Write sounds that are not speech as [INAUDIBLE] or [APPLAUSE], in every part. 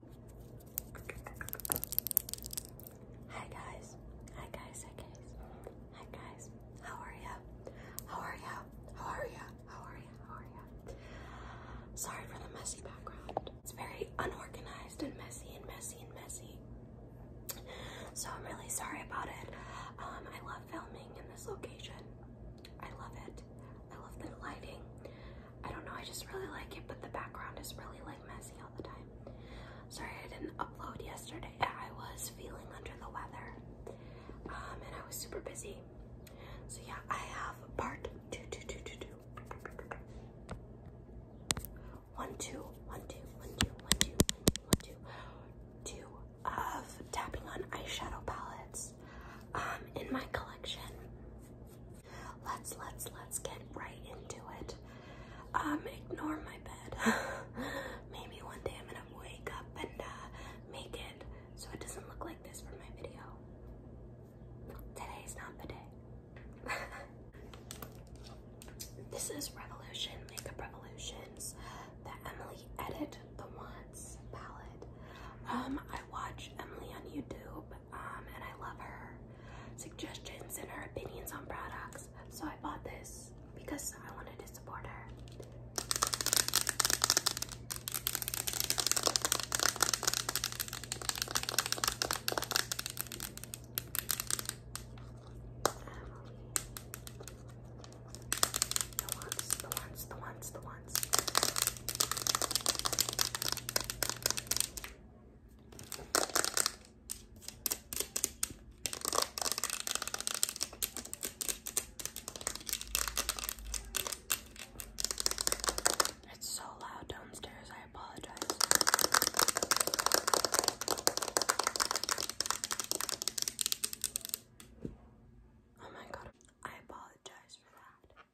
Hi guys, hi guys, hi guys, hi guys. How are ya? How are ya? How are ya? How are ya? How are ya? Sorry for the messy background. It's very unorganized and messy and messy and messy. So I'm really sorry about it. Um, I love filming in this location. I love it. I love the lighting. I don't know, I just really like it, but the background is really like messy all the time. Sorry I didn't upload yesterday. I was feeling under the weather um, and I was super busy. So yeah, I have part two, two, two, two, two. One, two, one, two, of tapping on eyeshadow palettes um, in my collection. Let's let's let's get right into it. Um, ignore my bed. [LAUGHS] Maybe one day I'm gonna wake up and uh, make it so it doesn't look like this for my video. Today's not the day. [LAUGHS] this is Revolution Makeup Revolutions, the Emily Edit the Wants palette. Um, I watch Emily on YouTube. Um, and I love her suggestions and her opinions on products. So I bought this because I wanted to support her. The ones, the ones, the ones, the ones. It's so loud downstairs, I apologize. Oh my god, I apologize for that.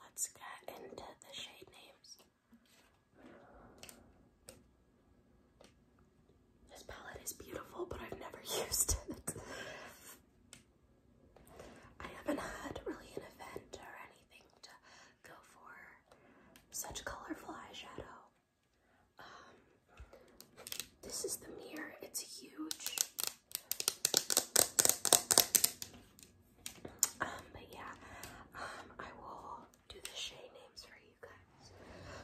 Let's get into the shade names. This palette is beautiful, but I've never [LAUGHS] used it. I haven't had really an event or anything to go for such colorful eyeshadow. Um, this is the mirror. It's huge. Um, but yeah, um, I will do the shade names for you guys.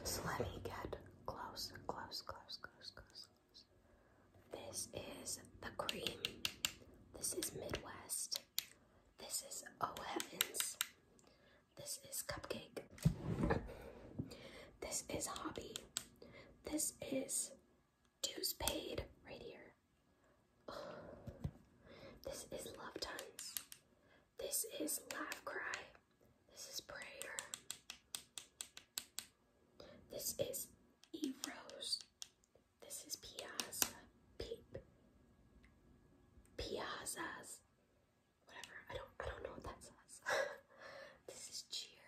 So let me get close, close, close, close, close, This is the cream. This is Midwest. This is Oh Heavens. This is Cupcake. This is Hobby. This is dues paid right here. this is love tons. This is laugh cry. This is prayer. This is Eros. This is Piazza. Peep. Piazzas. Whatever. I don't I don't know what that says. [LAUGHS] this is cheer.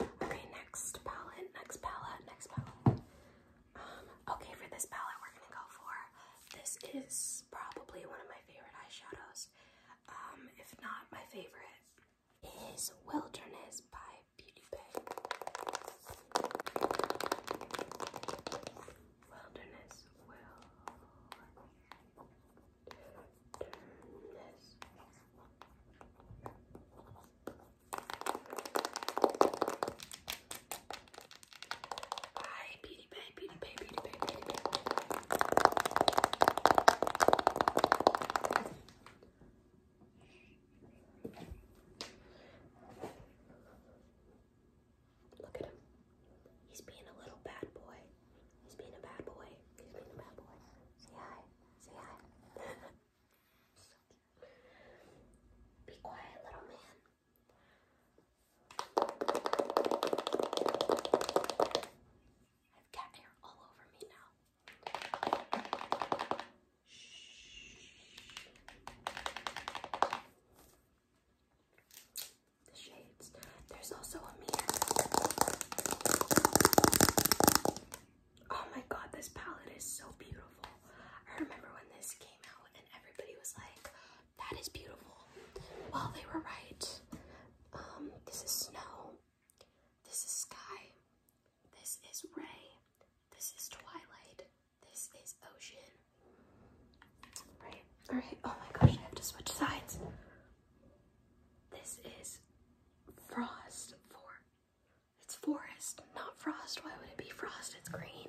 Okay, next palette, next palette, next palette. Um, okay, for this palette, we're gonna go for this is probably one of my favorite eyeshadows. Um, if not my favorite, is Wilderness by Beauty Bay. Wilderness by Beauty Bay, Beauty Bay, Beauty Look at him. He's being a little bad boy. He's being a bad boy. He's being a bad boy. Say hi. Say hi. [LAUGHS] Be quiet, little man. I've cat hair all over me now. The shades. There's also a mirror. Oh my god, this palette is so beautiful. I remember when this came out and everybody was like, that is beautiful. Well, they were right. Um, this is snow. This is sky. This is ray. This is twilight. This is ocean. Right? Alright. Oh my gosh, I have to switch sides. This is frost for it's forest, not frost. Why would it be frost? It's green.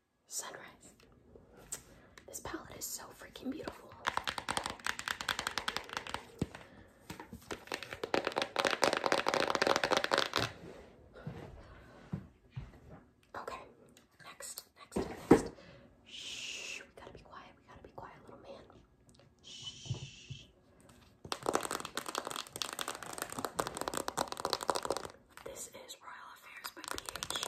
Sunrise. This palette is so freaking beautiful. Okay, next, next, next. Shh, we gotta be quiet. We gotta be quiet, little man. Shh. This is Royal Affairs by PH.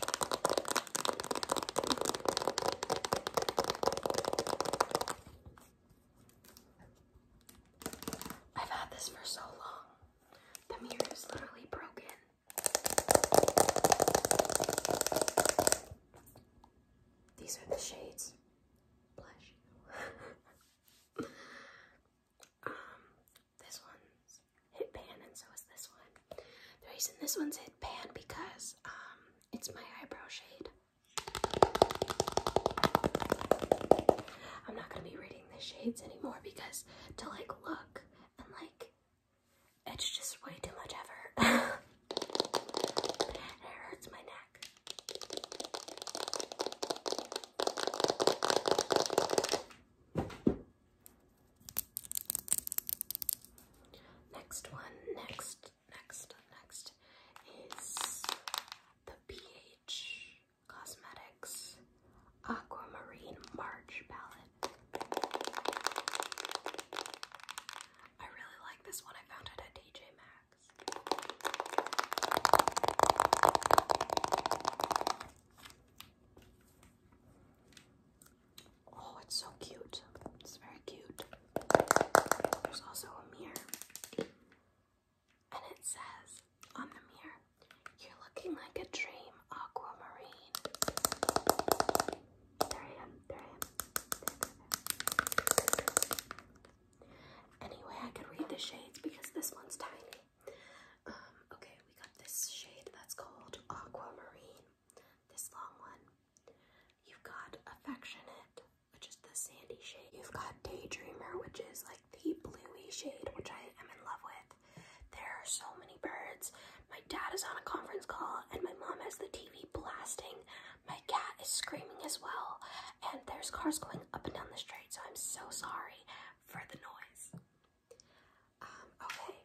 I've had this for so long. The mirror is literally broken. These are the shades. Blush. [LAUGHS] Um, this one's hit pan, and so is this one. The reason this one's hit pan because um, it's my eyebrow shade. I'm not gonna be reading the shades anymore because to like look and like it's just way too much effort. [LAUGHS] it hurts my neck. Next one, next, next, next is the PH Cosmetics Aquamarine March palette. I really like this one. I found it at DJ Maxx. Oh, it's so cute. It's very cute. There's also a mirror. And it says on the mirror, You're looking like a dream aquamarine. There I am. There I am. There, there, Anyway, I could read the shades because this one's tiny. Um, okay, we got this shade that's called Aquamarine, this long one. You've got Affectionate, which is the sandy shade. You've got Daydreamer, which is like the bluey shade, which I am in love with. There are so many birds. My dad is on a conference call, and my mom has the TV blasting. My cat is screaming as well, and there's cars going up and down the street, so I'm so sorry for the noise. Um, okay.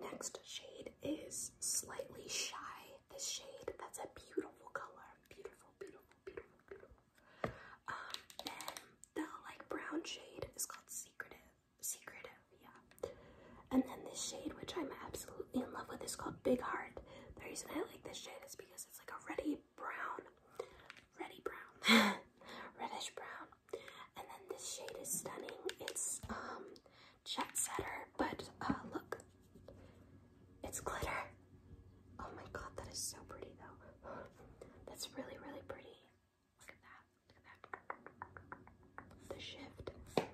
Next shade is Slightly Shy. This shade, that's a beautiful color. Beautiful, beautiful, beautiful, beautiful. Um, then like brown shade is called Secretive. Secretive, yeah. And then this shade, which I'm absolutely in love with, is called Big Heart. The reason I like this shade is because it's like a ready brown, reddy brown, [LAUGHS] reddish brown. And then this shade is stunning. It's um jet setter, but uh, look, it's glitter. Oh my god, that is so pretty though. [GASPS] That's really, really pretty. Look at that. Look at that. The shift. Okay.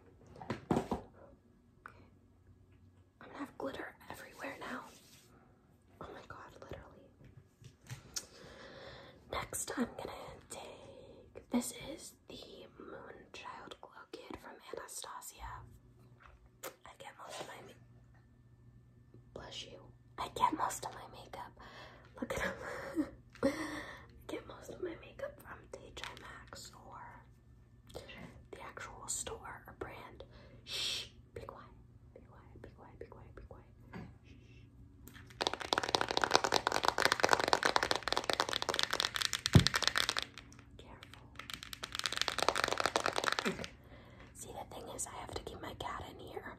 I'm gonna have glitter everywhere now. Oh my god, literally. Next, I'm gonna take this is the Moonchild Glow Kit from Anastasia. I get most of my blush you. I get most of my makeup. Look at [LAUGHS] I get most of my makeup from TJ Maxx or the actual store or brand. Shh. Be quiet. Be quiet. Be quiet. Be quiet. Be quiet. See, the thing is, I have to keep my cat in here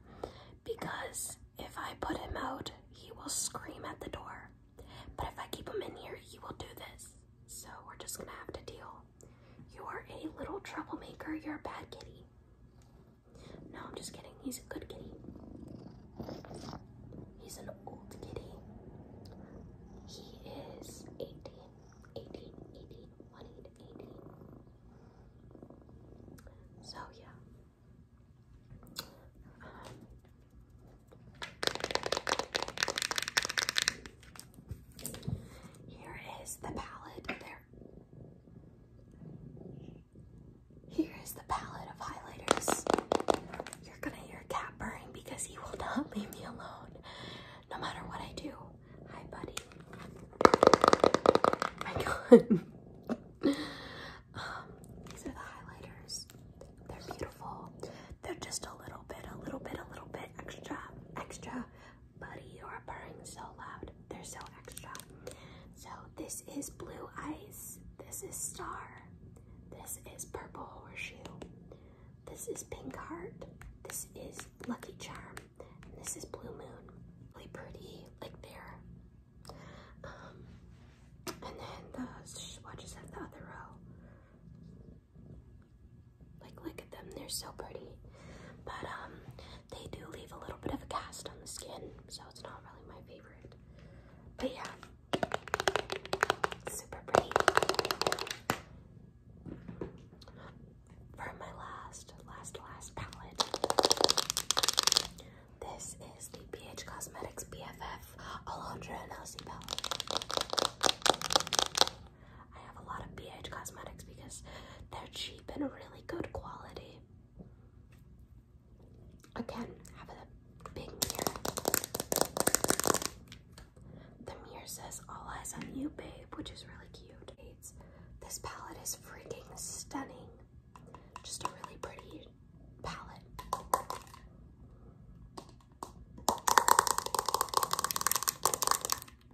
because if I put him out, he will scream at the door. But if I keep him in here, he will do this. So we're just gonna have to deal you are a little troublemaker. You're a bad kitty. No, I'm just kidding. He's a good kitty. He's an old kitty. He is 18, So, yeah. Um, here is the palette. There here is the palette of highlighters. You're gonna hear cat purring because he will [LAUGHS] not leave me alone, no matter what I do. Hi, buddy. My [LAUGHS] God. [LAUGHS] um, these are the highlighters. They're beautiful. They're just a little bit, a little bit, a little bit extra, extra buddy, you are purring so loud. They're so extra. So this is blue ice. This is star. This is purple horseshoe. This is pink heart. This is lucky charm. this is blue moon. Really pretty, like there. Um, and then the swatches have the other row. Like, look at them, they're so pretty. But, um, they do leave a little bit of a cast on the skin, so it's not really my favorite. But yeah, super pretty. For my last, last, last palette, this is the BH Cosmetics BFF Alondra and palette. I have a lot of BH Cosmetics because they're cheap and really good quality. Again, have a big mirror. The mirror says all eyes on you, babe, which is really cute. this palette is freaking stunning. Just a really pretty palette. Okay,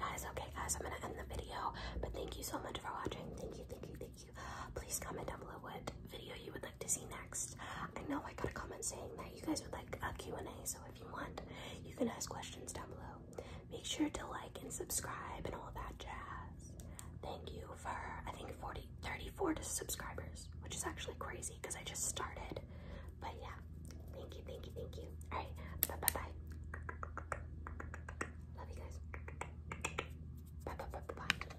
guys, okay, guys, I'm gonna end the video, but thank you so much for watching. Thank you, thank you, thank you. Please comment down below what video you would like to see next. I know I got a comment saying that you guys would like a Q&A, so if you want, you can ask questions down below. Make sure to like and subscribe and all that jazz. Thank you for, I think, 40, 34 subscribers, which is actually crazy because I just started. But yeah, thank you, thank you, thank you. All right, bye-bye-bye. Love you guys. Bye-bye-bye-bye.